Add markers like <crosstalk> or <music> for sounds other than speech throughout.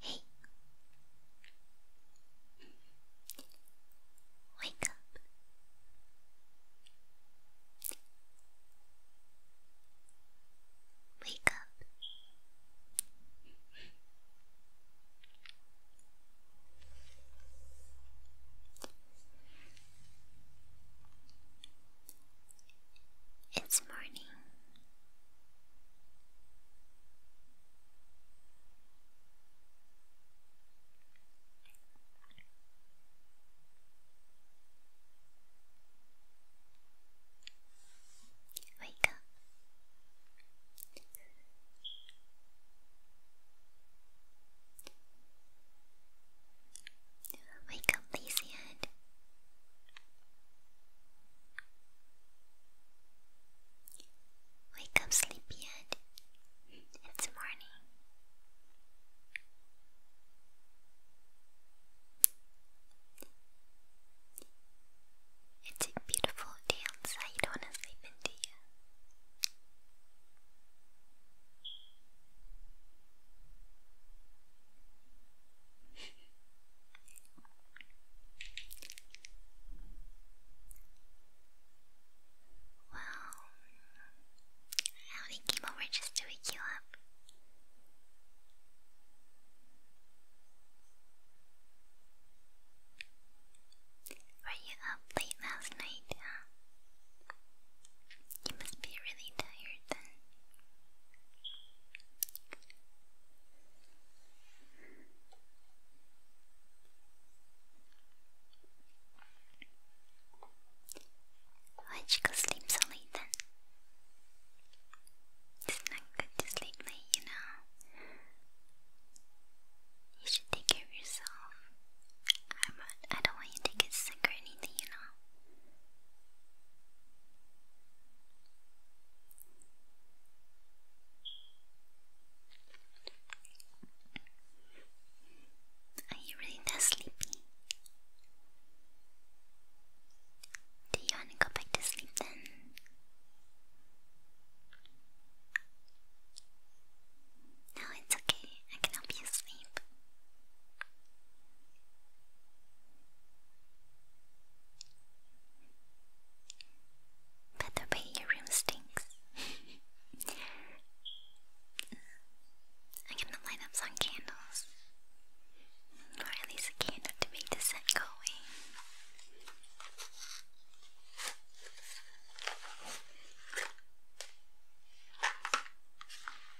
Hey. Wake up. Wake up. It's morning. Wake up. Wake up, lazyhead. Wake up, sleepyhead. It's morning. It's a beautiful day outside. don't sleep in, do Wow. I only came over just to wake you up. Were you up late last night, huh? You must be really tired then. Why'd you go sleep so late then? It's not good to sleep late, you know. You should take care of yourself i don't want you to get sick or anything, you know. Are you really that sleepy? Do you want to go back to sleep then? No, it's okay. I can help you sleep. By the way, your room stinks. i can going light up some candles. Or at least a candle to make the scent go away.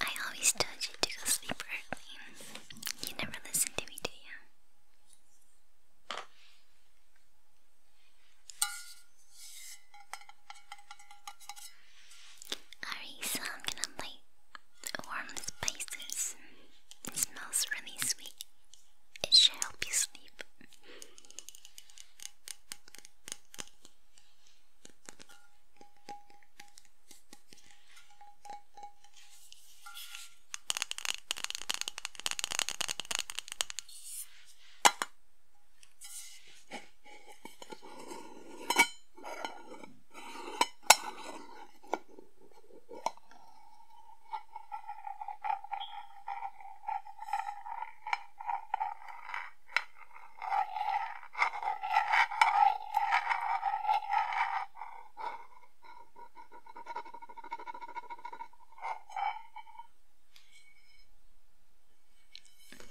I always told you to go sleep early. You never listen to me, do you? Alright, so I'm gonna light warm spices. It smells really sweet. It should help you sleep.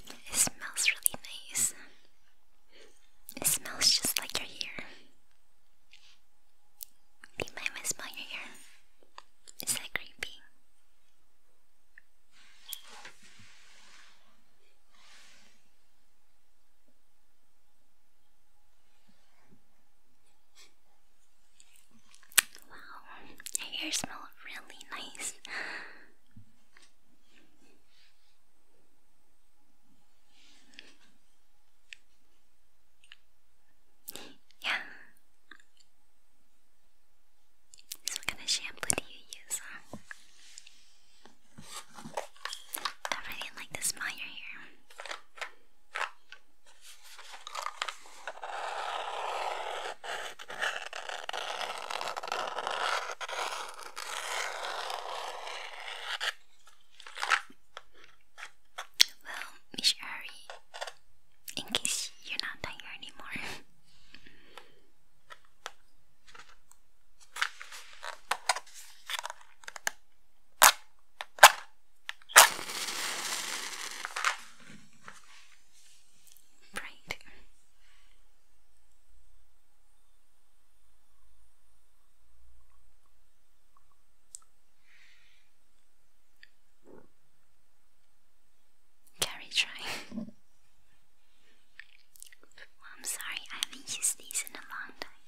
It smells really nice. It smells just like your hair. Be my miss your ear. Is that creepy? Wow, your hair smells really nice. Yeah. what kind of shampoo do you use? I really like the smell your hair. Well, Miss Ari, in case you're not tired anymore. Right. Carry trying. well, oh, I'm sorry, I haven't used these in a long time.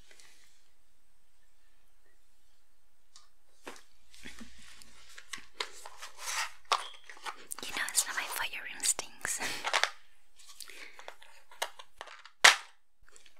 You know, it's not my fault your room stinks.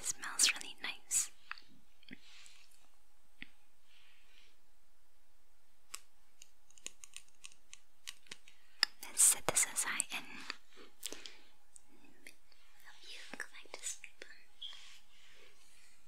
It smells really nice. Let's set this aside and help you go back to sleep.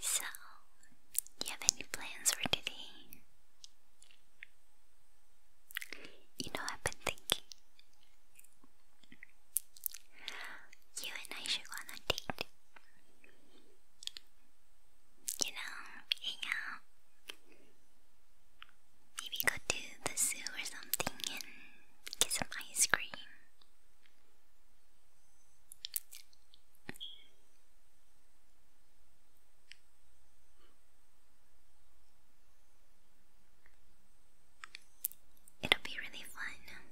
So, do you have any plans for today? You know, I've been thinking you and I should go on a date. You know, hang out, Maybe go to the zoo or something and get some ice cream. It'll be really fun.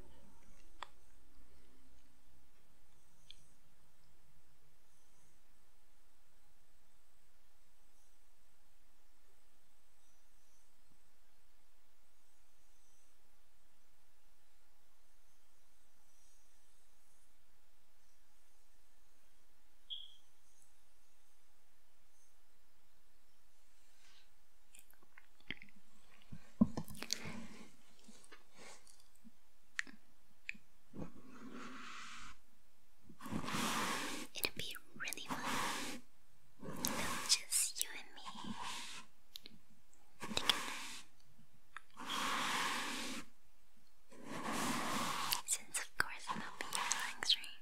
It'll be really fun just you and me Since, of course, I'm helping your lungs, right?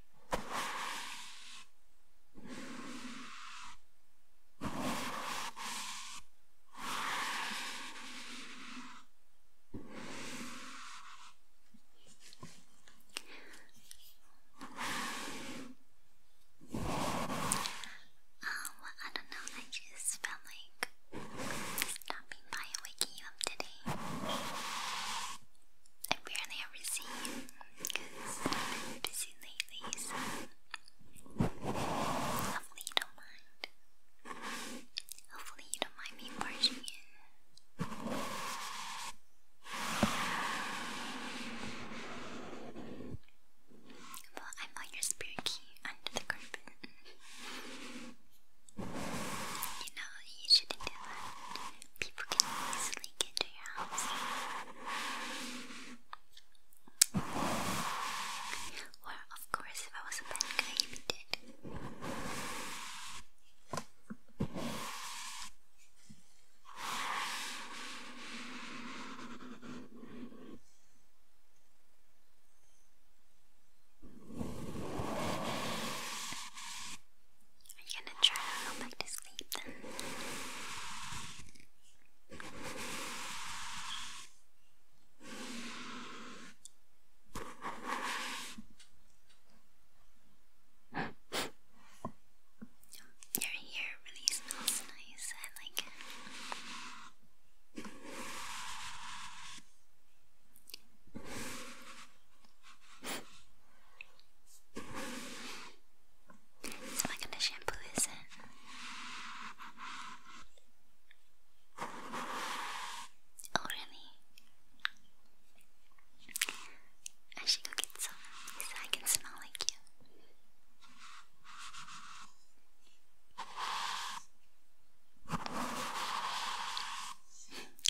Uh, well, I don't know, I just felt like stopping by and waking you up today. I barely ever see you because I've been busy lately, hopefully you don't mind. Hopefully you don't mind me barging in. Well, I'm your spirit key under the carpet. You know, you shouldn't do that. People can easily get to your house. Or, of course, if I was a bad guy, you'd be dead. I'm gonna try to go back to sleep then. Your hair really smells nice. I like it. It's shampoo, is it? Oh, really? I should go get some so I can smell like you. <laughs>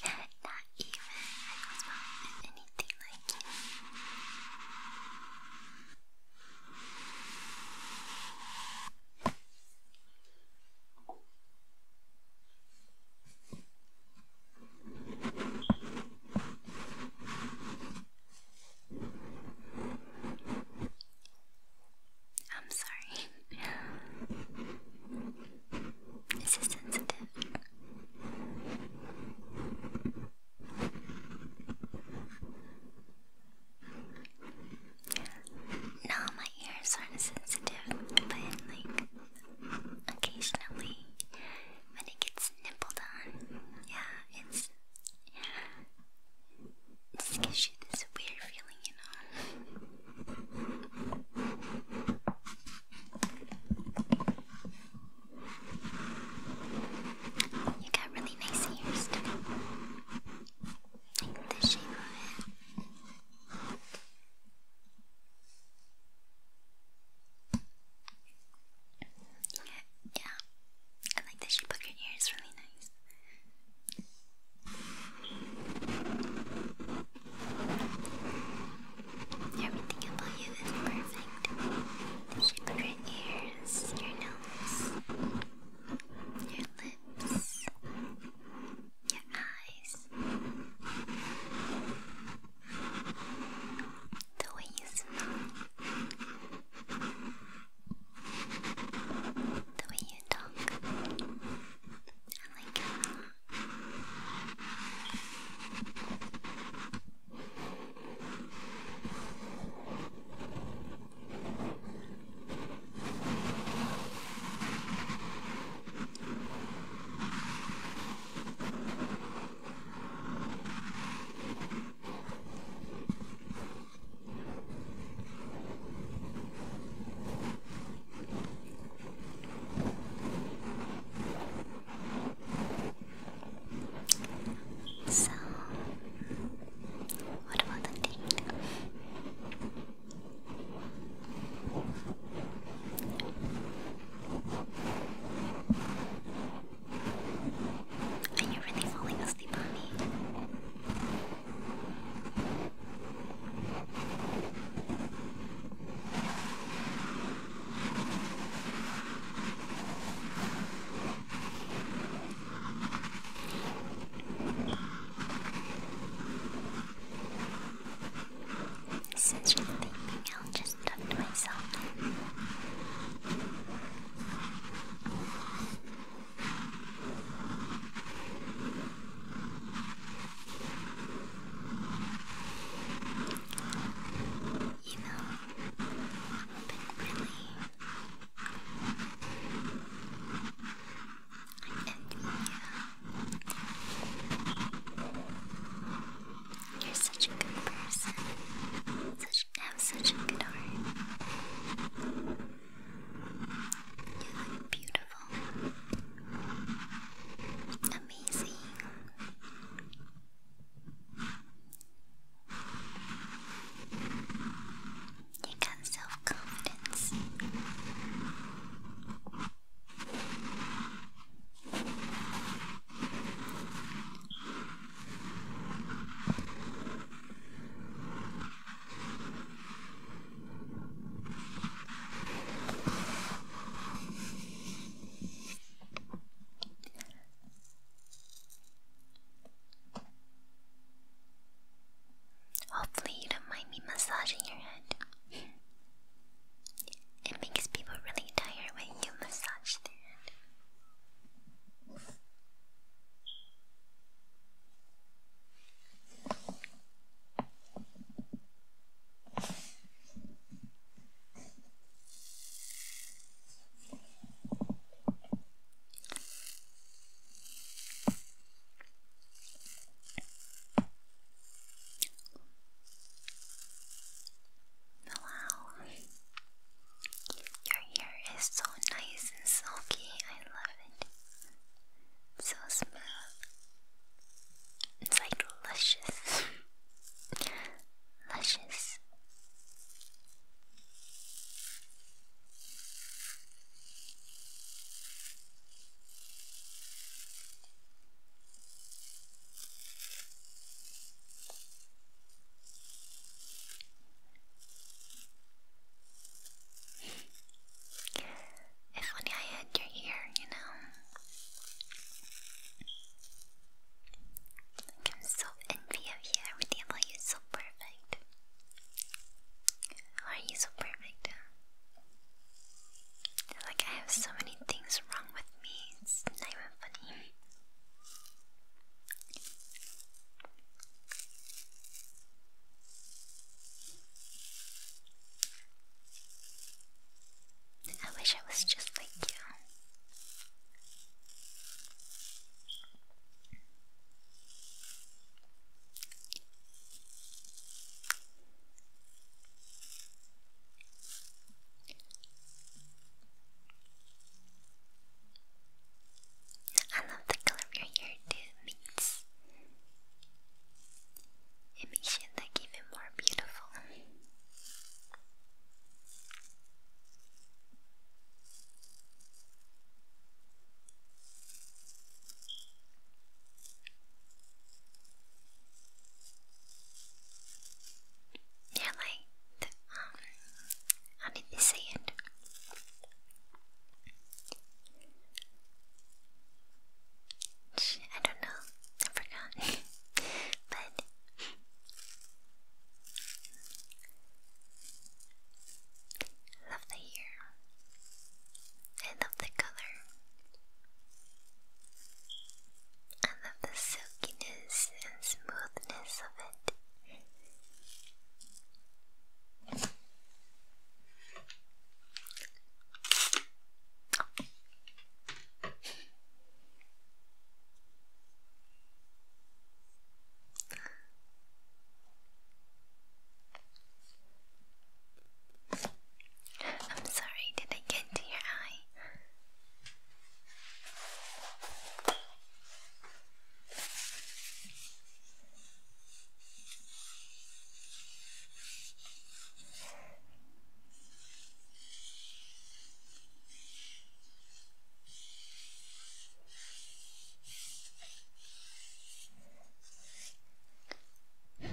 Not even smell anything like you. I'm sorry. this is sensitive. No, my ears aren't sensitive, but like occasionally when it gets nibbled on. Yeah, it's it gives you this weird feeling, you know. You got really nice ears the shape of it. Yeah, I like the shape of your ear, really nice. Everything about you is perfect. The shape of ears, your nose, your lips, your eyes, the way you smell, the way you talk. I like it so, what about the date? Are you really falling asleep on me? Since you're thinking, I'll just talk to myself. You know, I've been really I envy you're such a good person. Such, have such a good heart. You are beautiful. Amazing. You got self confidence. Hopefully, you don't mind me massaging your head. It makes people really tired when you massage their hand. Wow, your hair is so nice and silky. I love it. so smooth. It's like luscious. <laughs> luscious. If only I had your hair, you know. I'm so envy of you. Everything about you is so perfect. are you so perfect? Like, I have so many things wrong with me, it's not even funny. I wish I was just like you. I love the color of your hair too, it it makes you look even more beautiful. Yeah, like um, how did they say it? I don't know. I forgot. <laughs> but love the hair. I love the color. I love the silkiness and smoothness of it. I'm sorry, did I get into your eye? I'm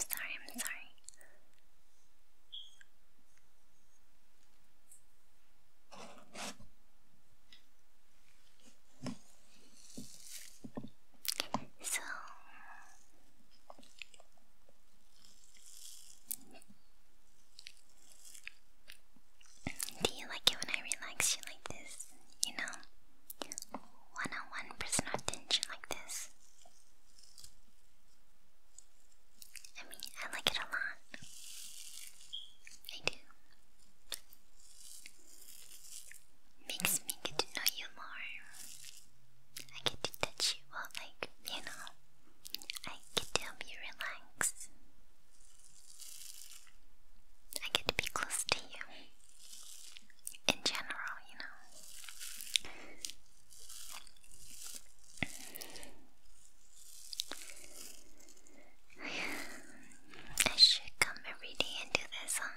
sorry, I'm sorry. So do you like it when I relax you like this? You know, one on one personal attention like this? I mean, I like it a lot. I do. Makes me get to know you more. I get to touch you, well, like, you know, I get to help you relax. I get to be close to you. In general, you know. <sighs> I should come every day and do this, huh?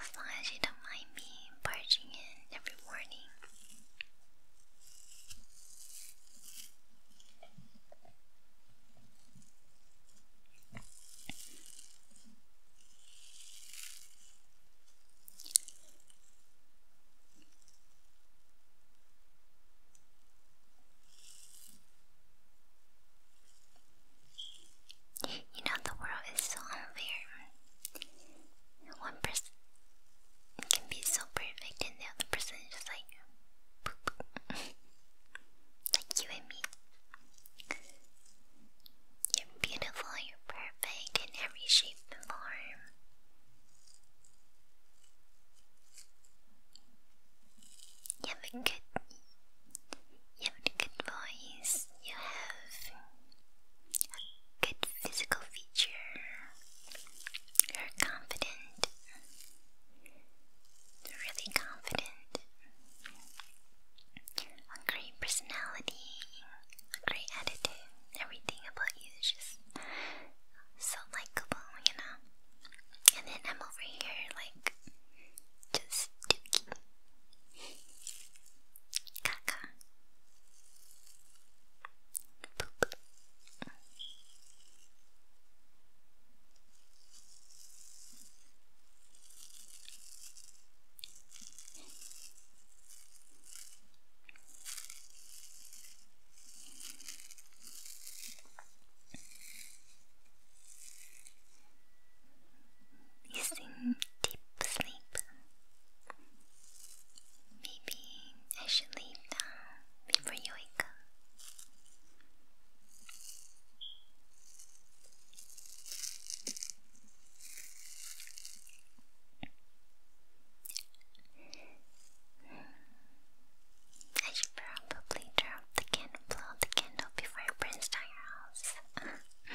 As long as you don't mind me barging in every morning. You know, the world is so unfair. One it can be so perfect, and the other person is just like, <laughs> like you and me. You're beautiful, you're perfect in every shape and form. You have a good, you have a good voice. You have a good physical feature. You're confident. Really confident. A great personality, a great attitude. Everything about you is just so likable, you know. And then I'm over here, like, just dookie. Caca. Poop. He's deep sleep. Maybe I should leave now before you wake up. I should probably drop the candle, blow the candle before it burns down your house. <laughs>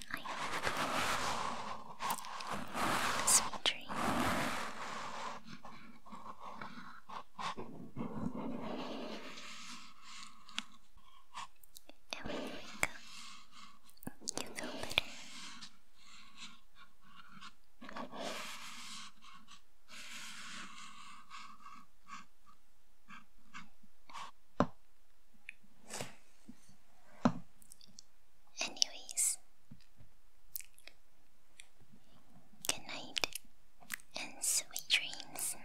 The sweet dream. And when you wake up, you feel better. Anyways, good night and sweet dreams.